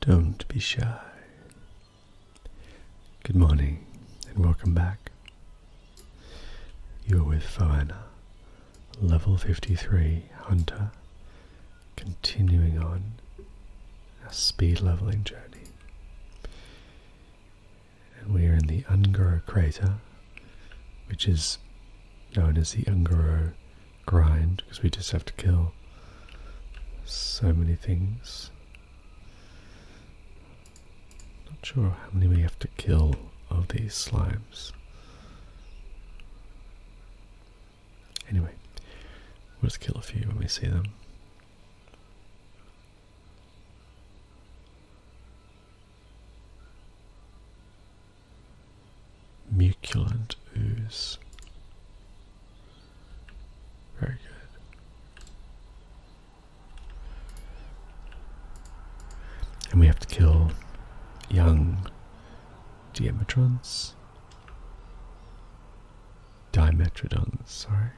Don't be shy. Good morning and welcome back. You're with Foana, level 53 Hunter, continuing on our speed leveling journey. And we are in the Ungoro crater, which is known as the Ungoro grind because we just have to kill so many things. Not sure how many we have to kill of these slimes. Anyway, we'll just kill a few when we see them. Muculent ooze. Very good. And we have to kill young Diametrons. Dimetrodons, sorry.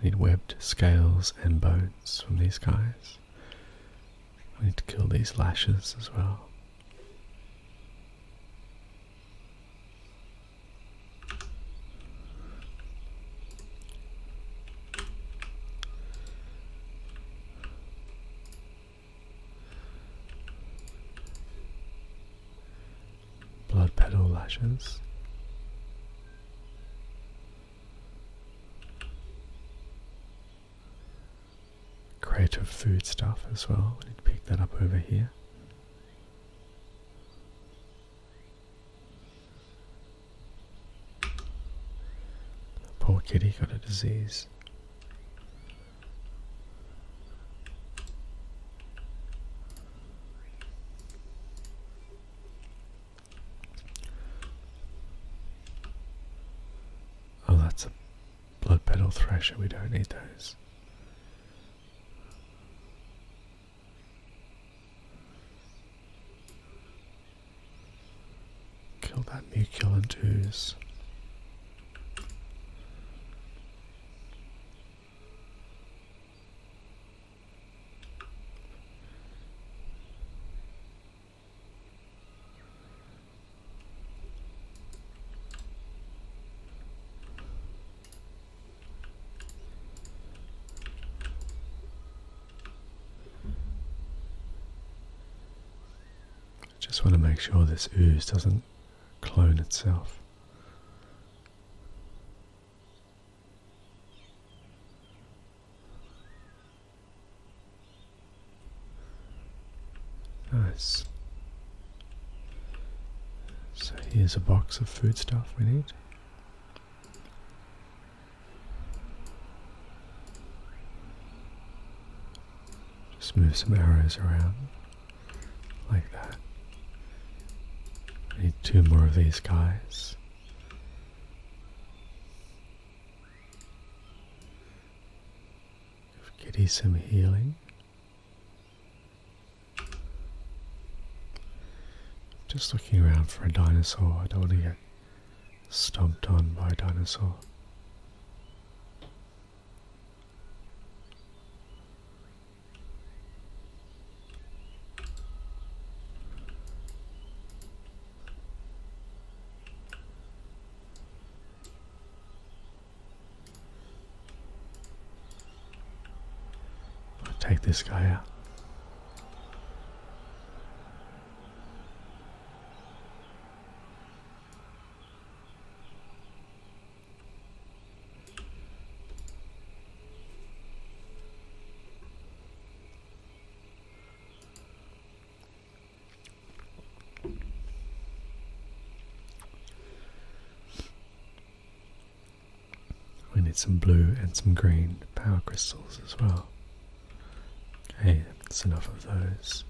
need webbed scales and bones from these guys. I need to kill these lashes as well. Blood petal lashes creative food stuff as well. I need to pick that up over here. Poor kitty got a disease. Oh, that's a Blood Petal thrasher. we don't need those. Kill that Muculant Ooze. I Just want to make sure this ooze doesn't clone itself. Nice. So here's a box of food stuff we need. Just move some arrows around like that. I need two more of these guys. Kitty some healing. Just looking around for a dinosaur. I don't want to get stomped on by a dinosaur take this guy out. We need some blue and some green power crystals as well. Hey, that's enough of those.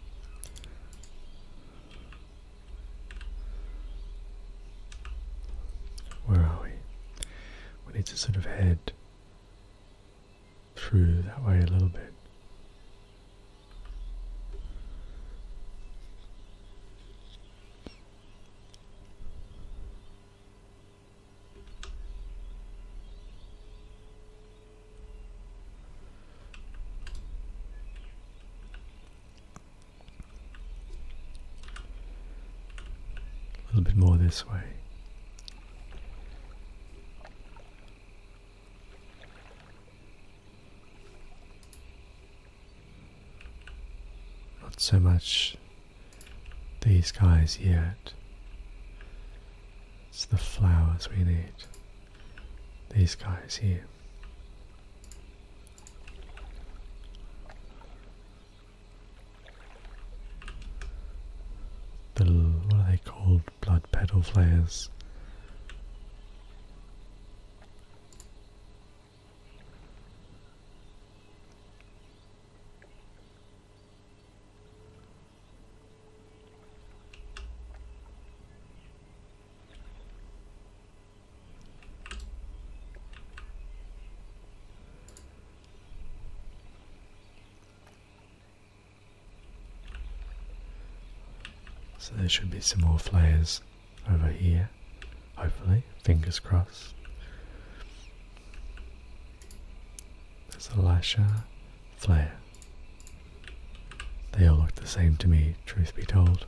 Where are we? We need to sort of head through that way a little bit. A little bit more this way. Not so much these guys yet. It's the flowers we need. These guys here. The, what are they called? Blood petal flowers. So there should be some more flares over here, hopefully, fingers crossed. There's a Lasher, Flare. They all look the same to me, truth be told.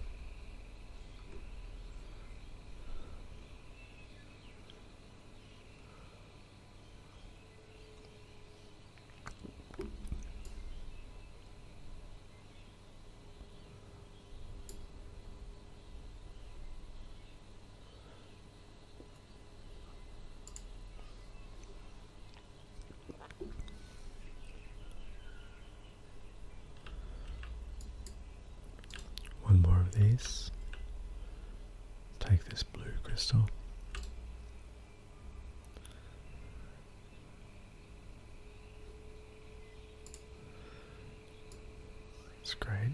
One more of these. Take this blue crystal. It's great.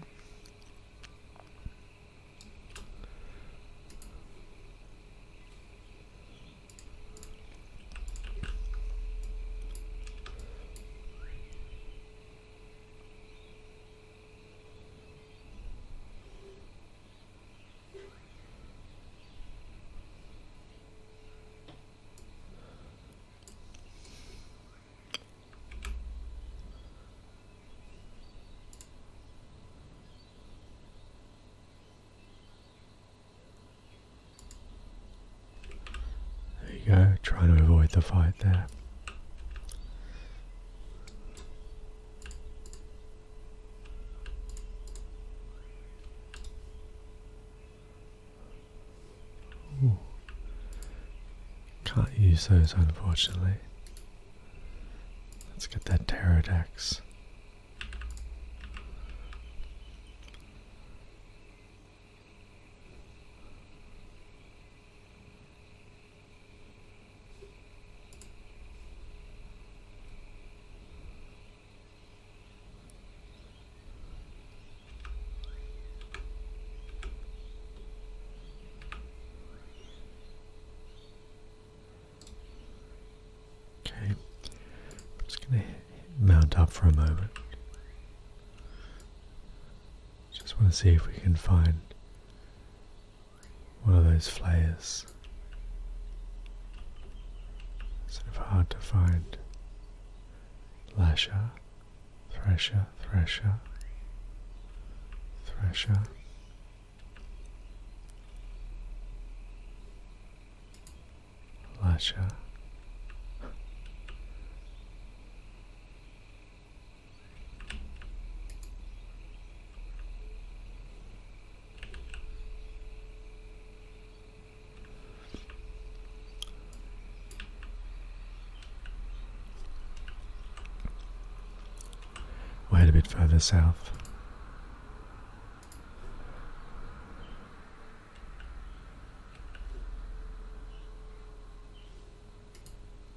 There you go, trying to avoid the fight there. Ooh. Can't use those unfortunately. Let's get that pterodactyl. Okay, I'm just going to mount up for a moment. Just want to see if we can find one of those flares. Sort of hard to find. Lasha, Thresha, Thresha, Thresha, Lasher. We'll head a bit further south.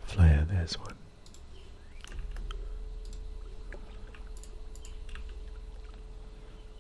Flare, there's one.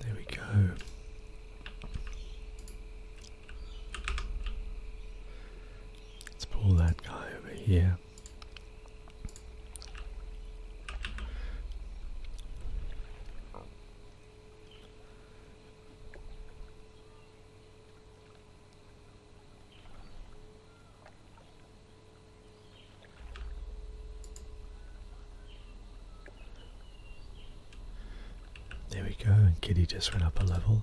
There we go. Let's pull that guy over here. There we go, and Kitty just went up a level.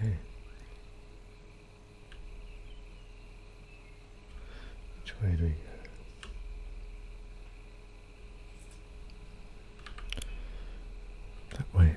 Okay. Which way do we go? That way.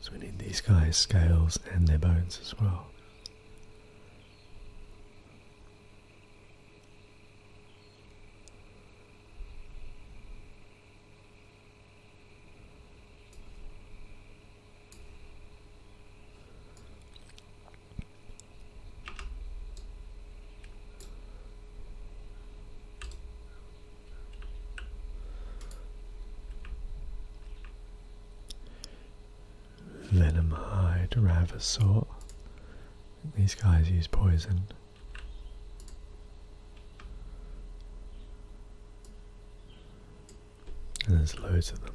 So we need these guys' scales and their bones as well. Lenomide, Ravasaur. These guys use poison. And there's loads of them.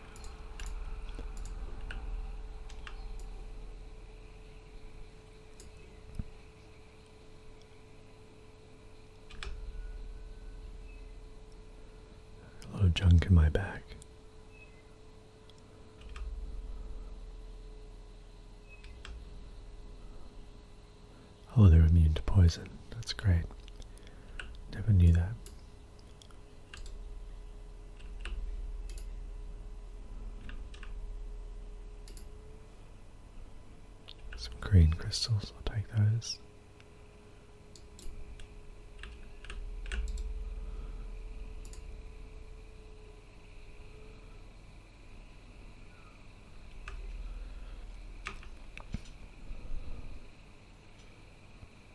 A lot of junk in my back. Oh, they're immune to poison. That's great. Never knew that. Some green crystals, I'll take those.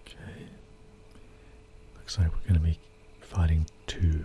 Okay. Looks like we're going to be fighting two.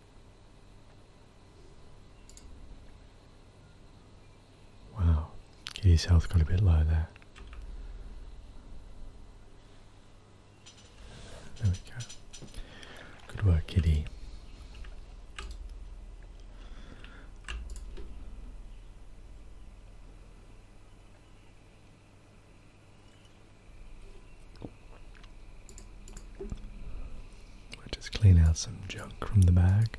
Wow, his health got a bit low there. There we go. Good work, kitty i just clean out some junk from the bag.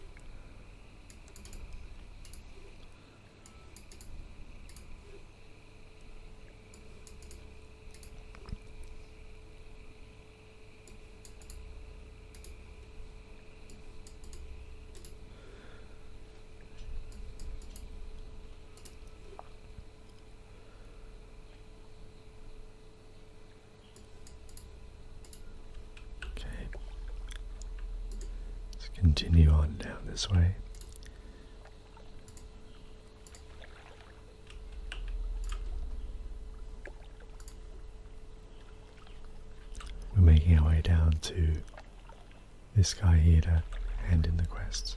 Okay. Let's continue on down this way. We're making our way down to this guy here to hand in the quests.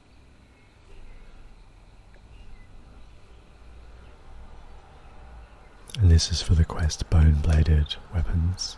And this is for the quest Bone Bladed Weapons.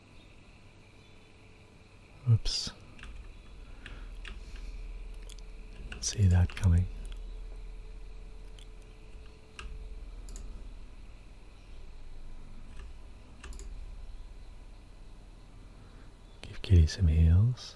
Oops. see that coming. Give Kitty some heels.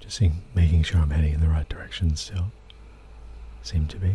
Just making sure I'm heading in the right direction still. Seem to be.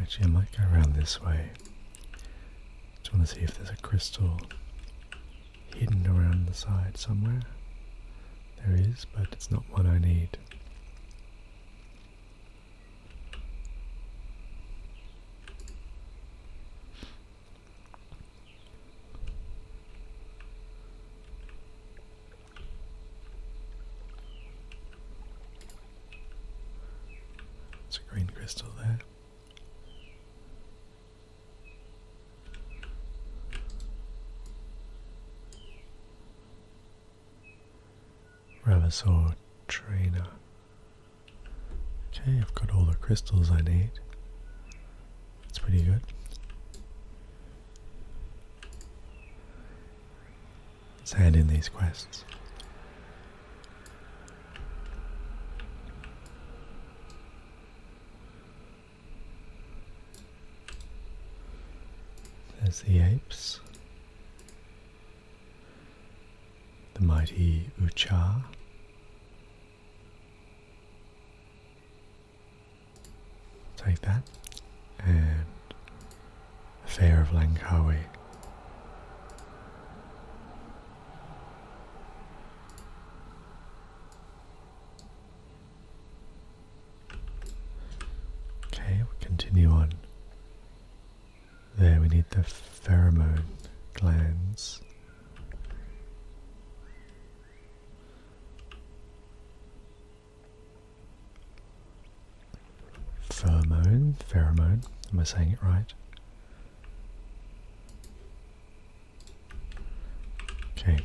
Actually, I might go around this way. Just want to see if there's a crystal hidden around the side somewhere. There is, but it's not what I need. It's a green crystal there. Ravasaur Trainer. Okay, I've got all the crystals I need. That's pretty good said in these quests. There's the apes, the mighty Ucha. Take that and the Fair of Langkawi. Okay, we we'll continue on. There we need the pheromone glands. Pheromone, pheromone, am I saying it right? Okay.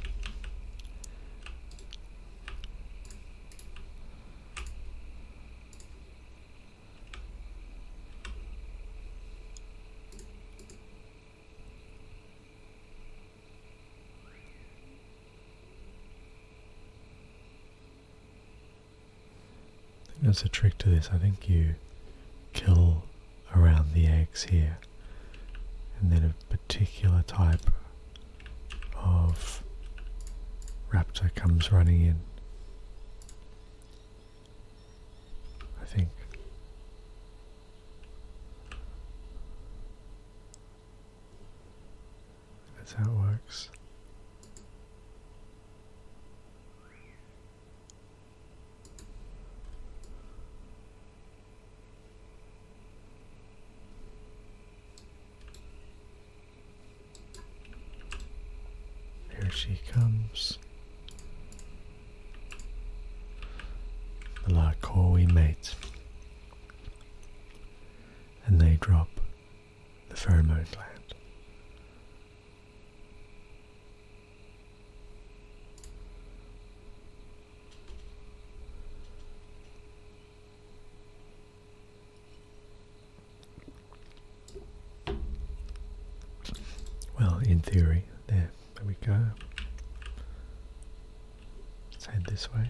There's a trick to this. I think you kill around the eggs here, and then a particular type of raptor comes running in. I think. That's how it works. Here she comes. The we mate. And they drop the pheromone land. Well, in theory, there, there we go. Let's head this way.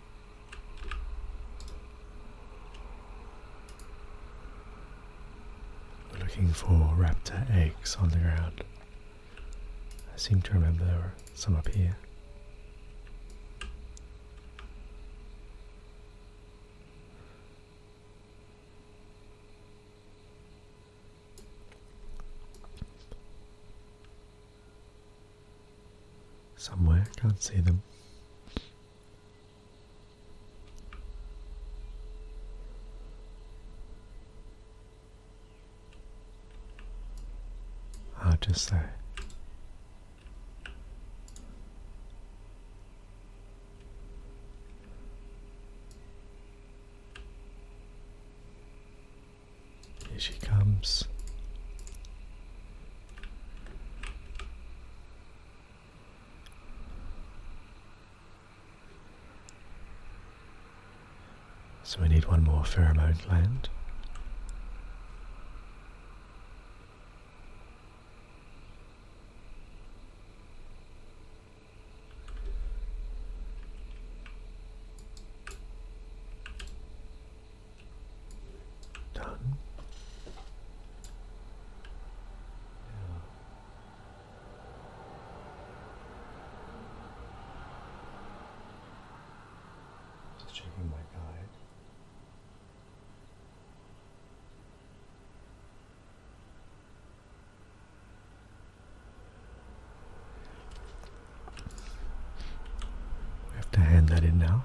We're looking for raptor eggs on the ground. I seem to remember there were some up here somewhere. Can't see them. Ah, just say? Here she comes. So we need one more pheromone land. Done. Just checking my guide. I have to hand that in now.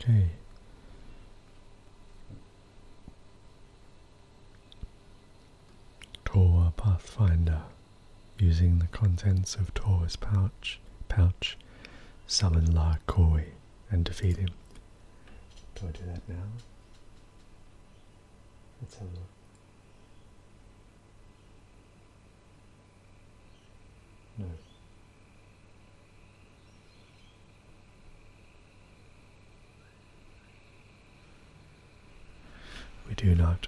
Okay. Torwa Pathfinder using the contents of Torwa's pouch pouch summon La Koi and defeat him. Do I do that now? Let's have a look. We do not.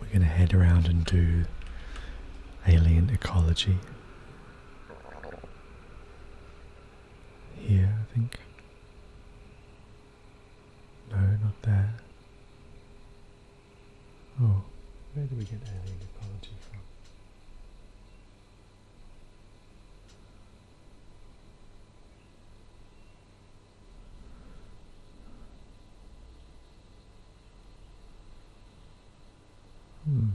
We're going to head around and do alien ecology. Here, I think. No, not there. Oh, where do we get alien apology from? Hmm.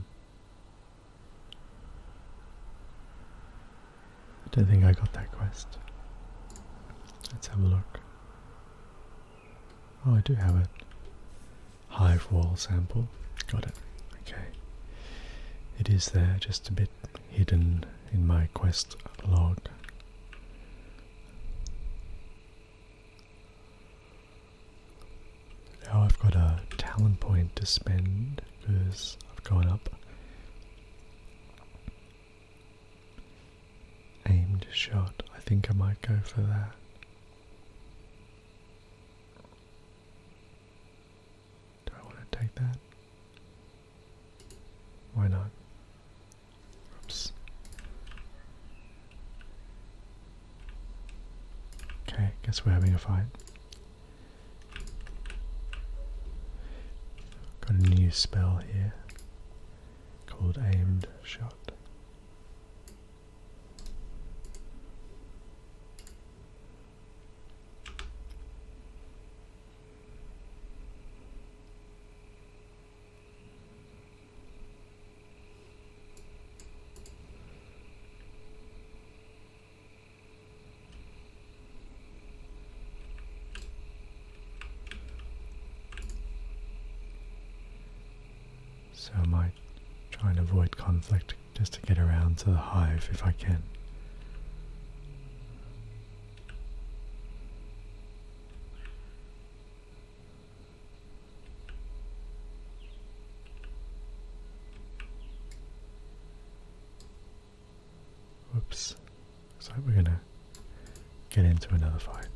I don't think I got that quest. Let's have a look. Oh, I do have it. Hive wall sample. Got it. Okay. It is there, just a bit hidden in my quest log. Now I've got a talent point to spend because I've gone up Aimed shot. I think I might go for that. Do I want to take that? Why not? Oops. Okay, guess we're having a fight. Got a new spell here called Aimed Shot. So I might try and avoid conflict just to get around to the hive if I can. Whoops. Looks like we're gonna get into another fight.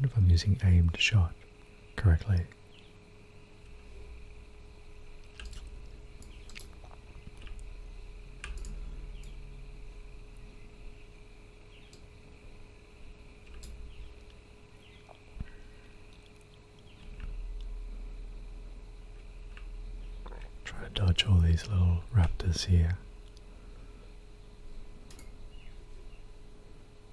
I if I'm using aimed shot correctly. Try to dodge all these little raptors here.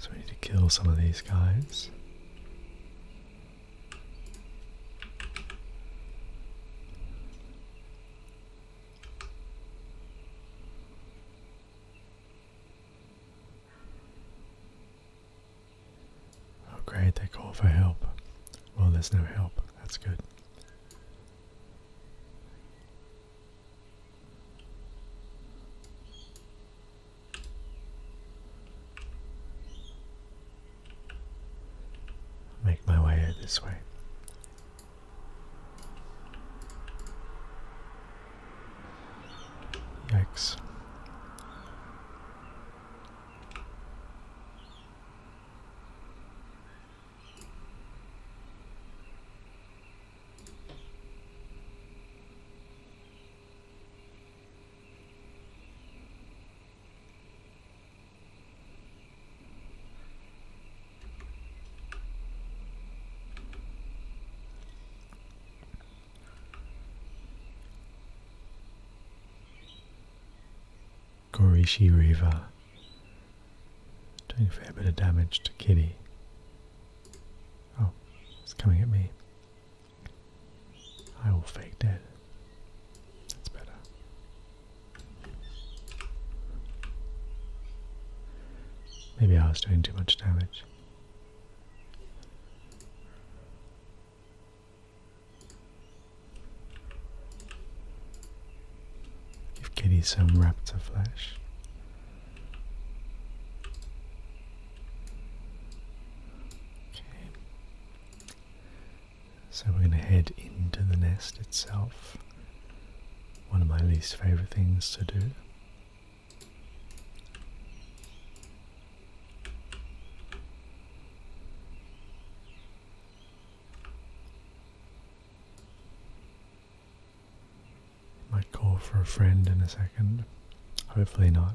So we need to kill some of these guys. Oh, great, they call for help. Well, there's no help. That's good. Make my way this way. Yikes. Gorishi River doing a fair bit of damage to Kitty. Oh, it's coming at me. I will fake dead. That's better. Maybe I was doing too much damage. Give Kitty some raptor flesh. Okay. So we're going to head into the nest itself. One of my least favorite things to do. Might call for a friend in a second. Hopefully not.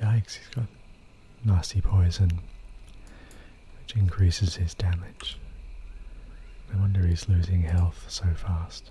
Yikes, he's got nasty poison, which increases his damage. No wonder he's losing health so fast.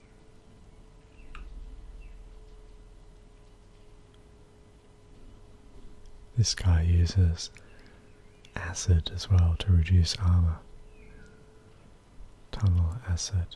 This guy uses acid as well to reduce armor. Tunnel acid.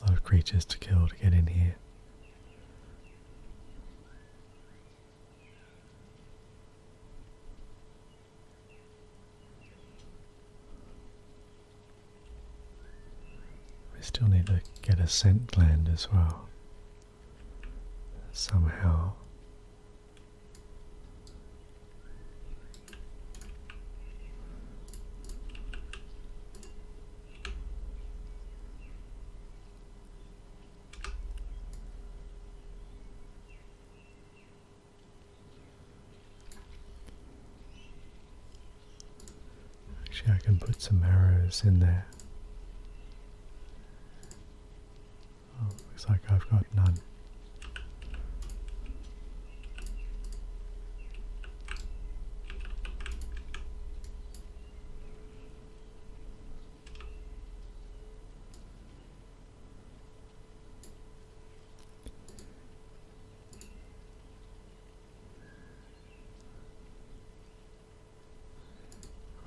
A lot of creatures to kill to get in here. We still need to get a scent gland as well. Somehow. Actually, I can put some arrows in there. Oh, looks like I've got none.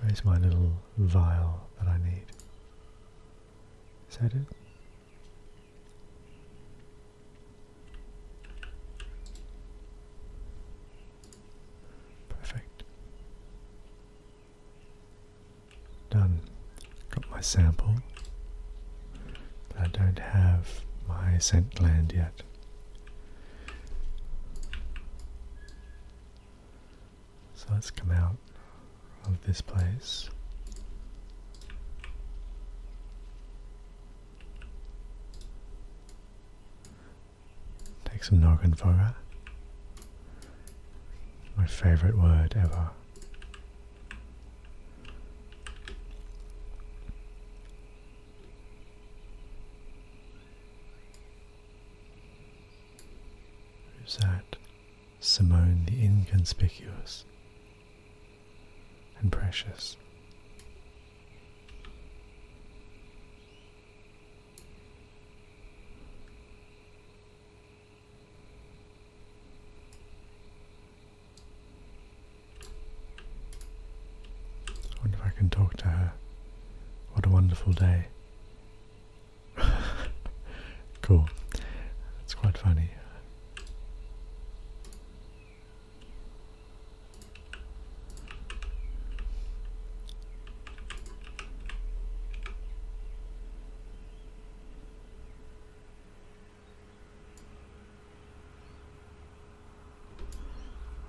Where's my little vial that I need? Is that it? Perfect. Done. Got my sample, but I don't have my scent gland yet. So let's come out of this place. Take some noggin for that. My favorite word ever. Who's that? Simone the Inconspicuous and Precious wonder if I can talk to her. What a wonderful day. cool. It's quite funny.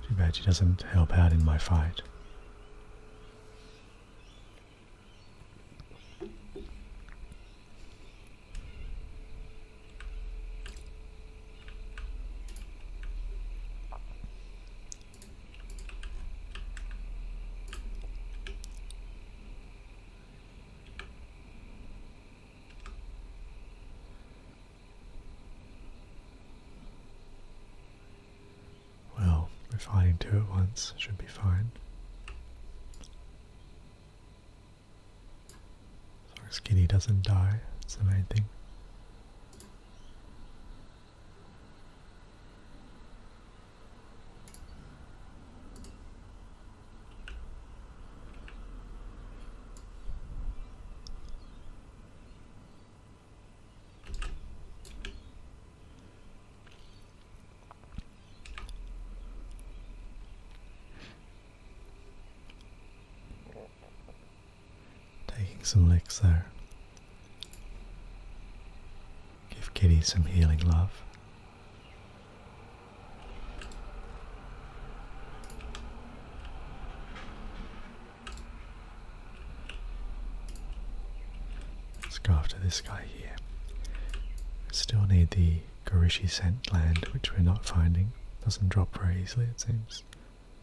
Too bad she doesn't help out in my fight. Well, refining two at once should be fine. As long doesn't die, that's the Taking some licks there. Give Kitty some healing love. Let's go after this guy here. Still need the Garishi scent land, which we're not finding. Doesn't drop very easily, it seems.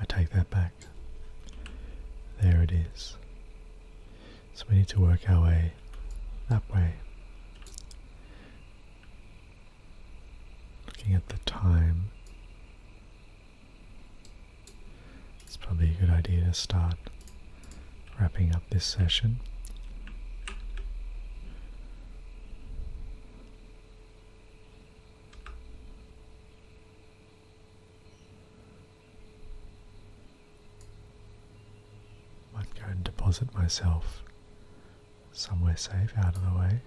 I take that back. There it is. So we need to work our way that way. Looking at the time, it's probably a good idea to start wrapping up this session i am going to deposit myself somewhere safe out of the way.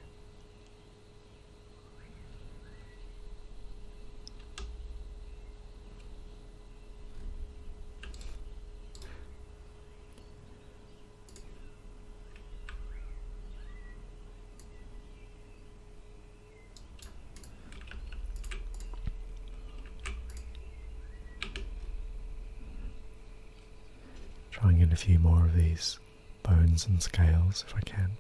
Trying in a few more of these bones and scales if I can.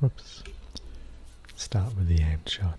Oops. Start with the aimed shot.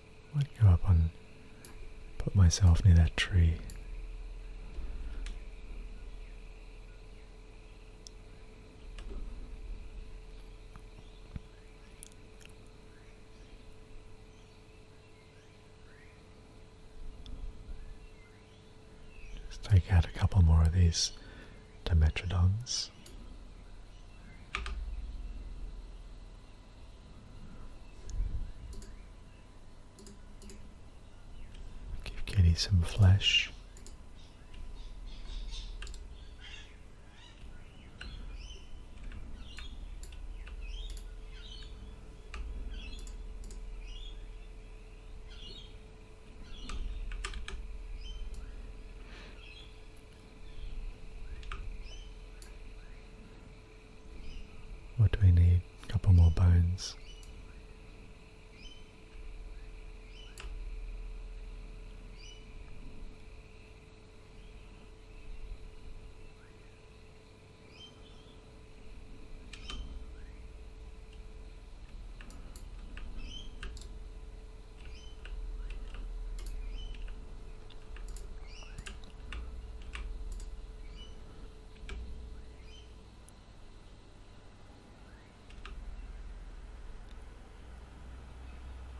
i go up and put myself near that tree. Just take out a couple more of these Dimetrodons. Give Kitty some flesh. What do we need? A couple more bones.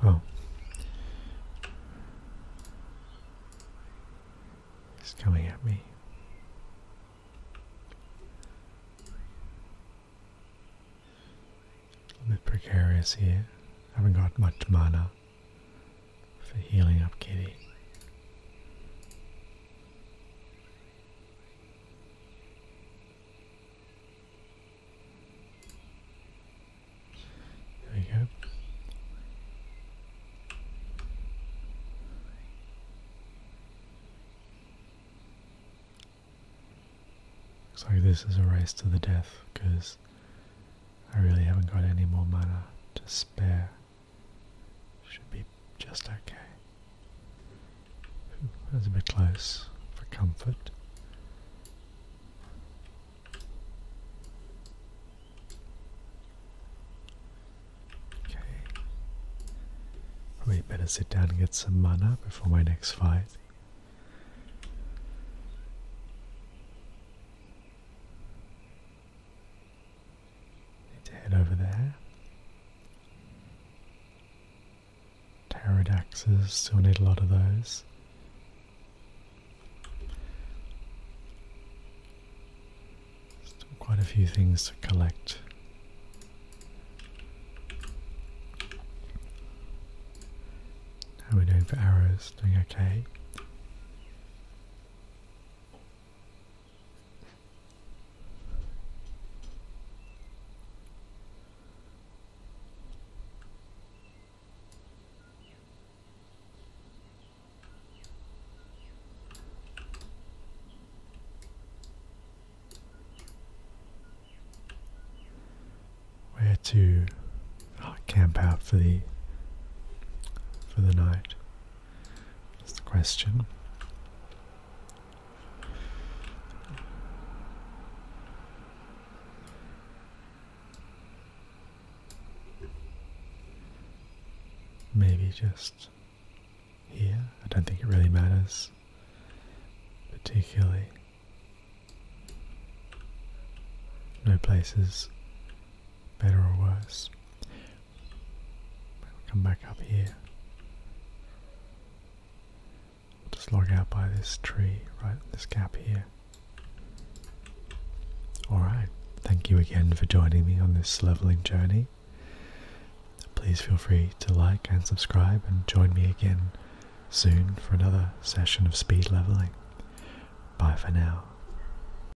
Oh. He's coming at me. A bit precarious here. I haven't got much mana for, healing up Kitty. There we go. Looks like this is a race to the death because I really haven't got any more mana to spare. Should be just okay. Ooh, that was a bit close for comfort. Okay. Probably better sit down and get some mana before my next fight. Need to head over there. Pterodactyls still need a lot of those. Still quite a few things to collect. How are we doing for arrows? Doing okay where to camp out for the for the night. That's the question. Maybe just here. I don't think it really matters, particularly. No places better or worse. Come back up here. just log out by this tree, right? This gap here. Alright, thank you again for joining me on this leveling journey. Please feel free to like and subscribe and join me again soon for another session of speed leveling. Bye for now.